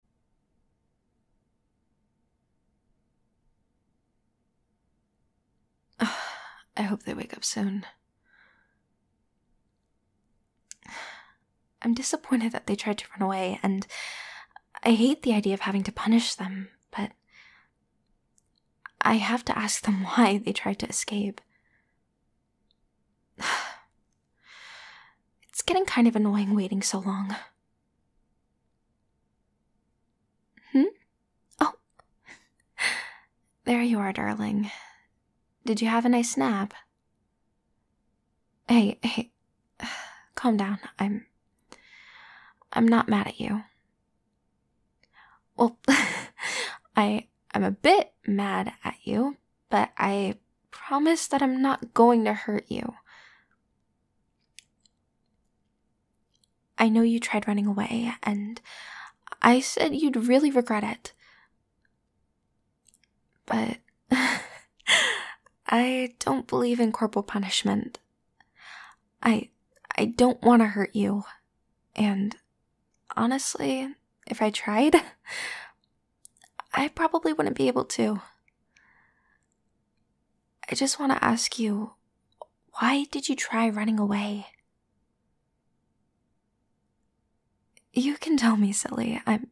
I hope they wake up soon. I'm disappointed that they tried to run away, and I hate the idea of having to punish them, but I have to ask them why they tried to escape. It's getting kind of annoying waiting so long. Hmm? Oh. there you are, darling. Did you have a nice nap? Hey, hey. Calm down. I'm I'm not mad at you. Well, I I'm a bit mad at you, but I Promise that I'm not going to hurt you. I know you tried running away, and I said you'd really regret it. But I don't believe in corporal punishment. I I don't want to hurt you. And honestly, if I tried, I probably wouldn't be able to. I just want to ask you why did you try running away? You can tell me, silly. I'm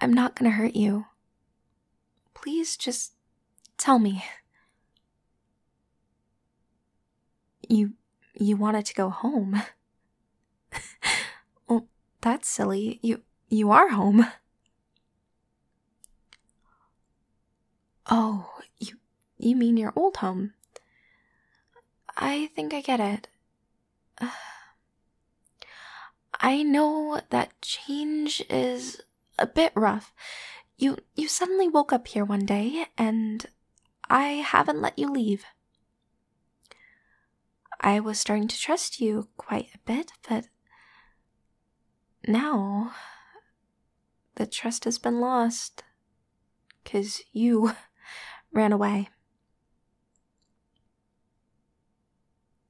I'm not going to hurt you. Please just tell me. You you wanted to go home. Oh, that's silly. You you are home. Oh, you you mean your old home? I think I get it. I know that change is a bit rough. You you suddenly woke up here one day and I haven't let you leave. I was starting to trust you quite a bit, but now the trust has been lost because you ran away.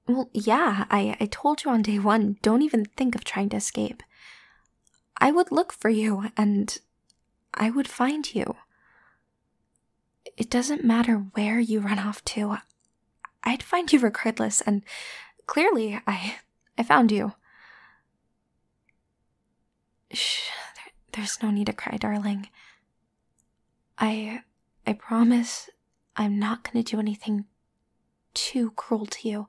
Well, yeah, I, I told you on day one, don't even think of trying to escape. I would look for you and I would find you. It doesn't matter where you run off to. I'd find you regardless, and clearly I I found you. Shh, there's no need to cry, darling. I I promise I'm not going to do anything too cruel to you.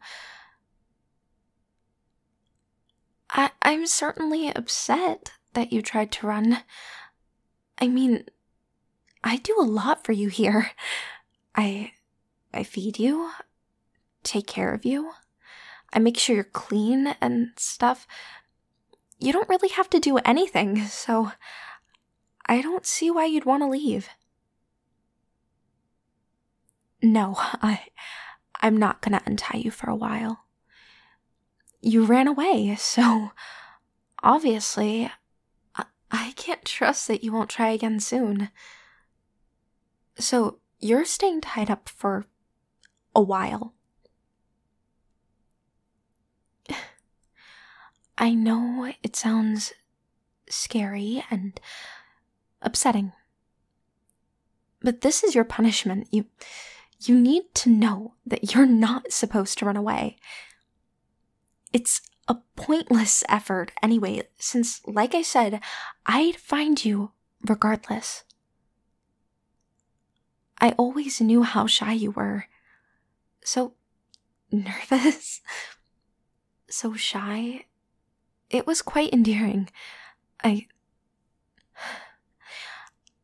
I am certainly upset that you tried to run. I mean, I do a lot for you here. I I feed you, take care of you. I make sure you're clean and stuff. You don't really have to do anything, so I don't see why you'd want to leave. No, I I'm not going to untie you for a while. You ran away, so obviously I, can't trust that you won't try again soon. So you're staying tied up for a while. I know it sounds scary and upsetting, but this is your punishment. You you need to know that you're not supposed to run away. It's a pointless effort anyway, since like I said, I'd find you regardless. I always knew how shy you were. So nervous. so shy. It was quite endearing. I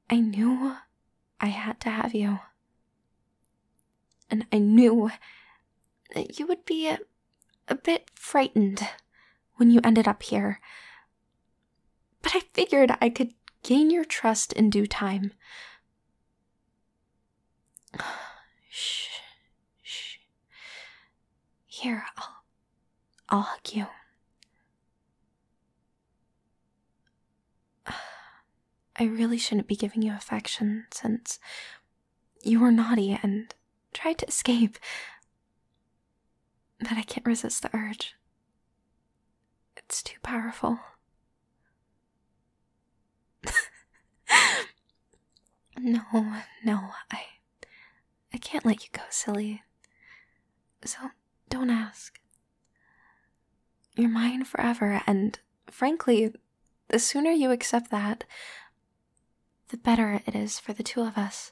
I knew I had to have you. And I knew that you would be a, a bit frightened when you ended up here. But I figured I could gain your trust in due time. Shh, shh. Here, I'll I'll hug you. I really shouldn't be giving you affection since you were naughty and tried to escape. But I can't resist the urge. It's too powerful. no, no, I I can't let you go, silly. So don't ask. You're mine forever, and frankly, the sooner you accept that, the better it is for the two of us.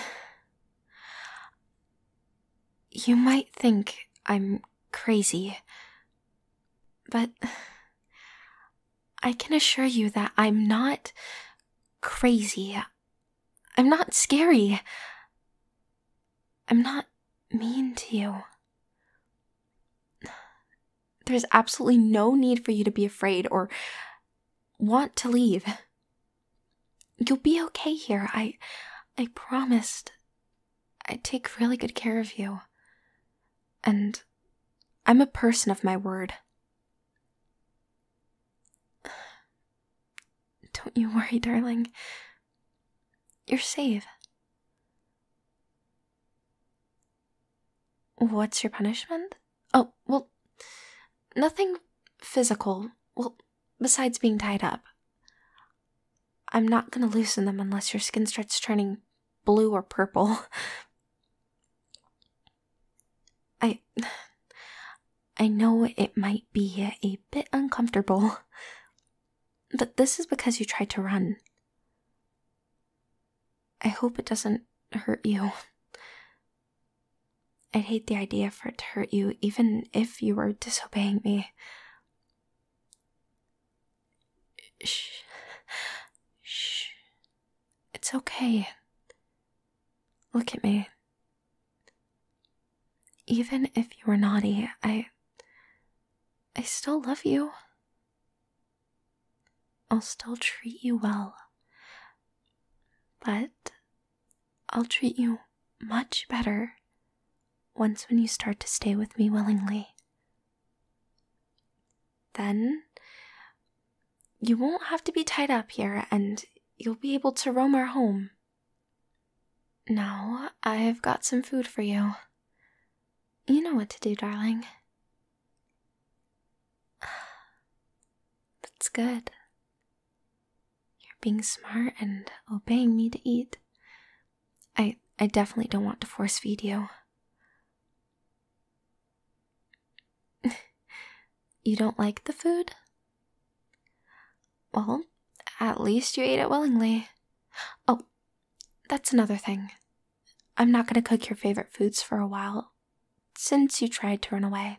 you might think I'm crazy, but I can assure you that I'm not crazy. I'm not scary. I'm not mean to you. There's absolutely no need for you to be afraid or want to leave. You'll be okay here. I I promised I'd take really good care of you and I'm a person of my word. Don't you worry, darling. You're safe. What's your punishment? Oh, well, nothing physical. Well, besides being tied up. I'm not gonna loosen them unless your skin starts turning blue or purple. I. I know it might be a bit uncomfortable, but this is because you tried to run. I hope it doesn't hurt you. I'd hate the idea for it to hurt you, even if you were disobeying me. Shh. Shh. It's okay. Look at me. Even if you were naughty, I. I still love you. I'll still treat you well. But I'll treat you much better once when you start to stay with me willingly. Then you won't have to be tied up here and you'll be able to roam our home. Now I've got some food for you. You know what to do, darling. That's good. You're being smart and obeying me to eat. I I definitely don't want to force feed you. you don't like the food? Well, at least you ate it willingly. Oh, that's another thing. I'm not going to cook your favorite foods for a while since you tried to run away.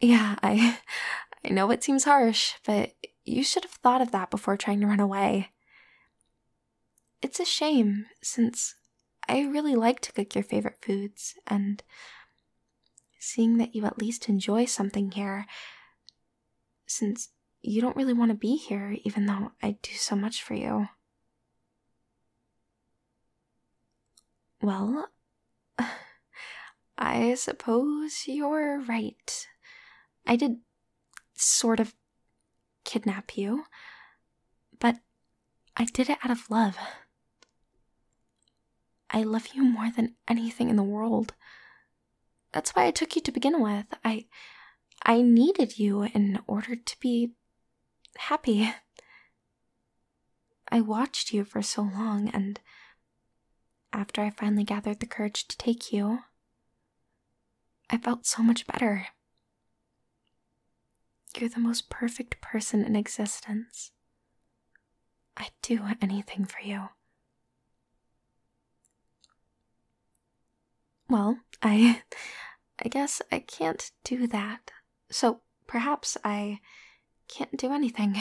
Yeah, I I know it seems harsh, but you should have thought of that before trying to run away. It's a shame, since I really like to cook your favorite foods, and seeing that you at least enjoy something here, since you don't really want to be here, even though I do so much for you. Well, I suppose you're right. I did sort of kidnap you, but I did it out of love. I love you more than anything in the world. That's why I took you to begin with. I I needed you in order to be happy. I watched you for so long and after I finally gathered the courage to take you, I felt so much better. You're the most perfect person in existence. I'd do anything for you. Well, I. I guess I can't do that. So perhaps I can't do anything.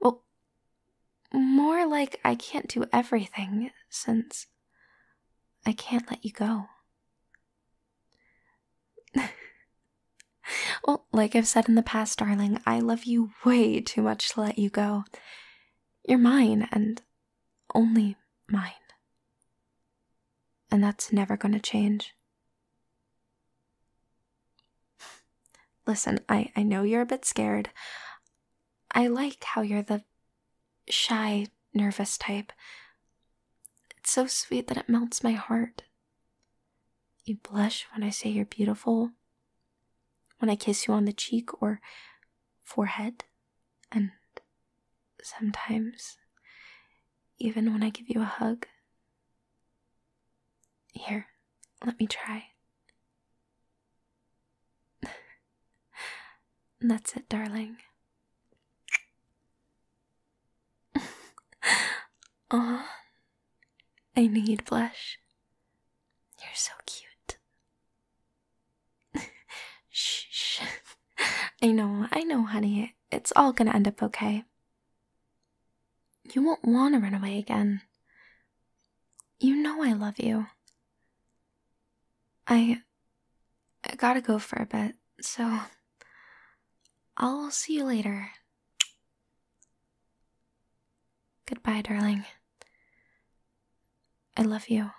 Well, more like I can't do everything since I can't let you go. well, like I've said in the past, darling, I love you way too much to let you go. You're mine and only mine. And that's never going to change. Listen, I, I know you're a bit scared. I like how you're the shy, nervous type. It's so sweet that it melts my heart. You blush when I say you're beautiful, when I kiss you on the cheek or forehead, and sometimes even when I give you a hug. Here, let me try. That's it, darling. Aw, I need blush. You're so cute. shh. I know, I know, honey. It's all gonna end up okay. You won't want to run away again. You know I love you. I. I gotta go for a bit, so. I'll see you later. Goodbye, darling. I love you.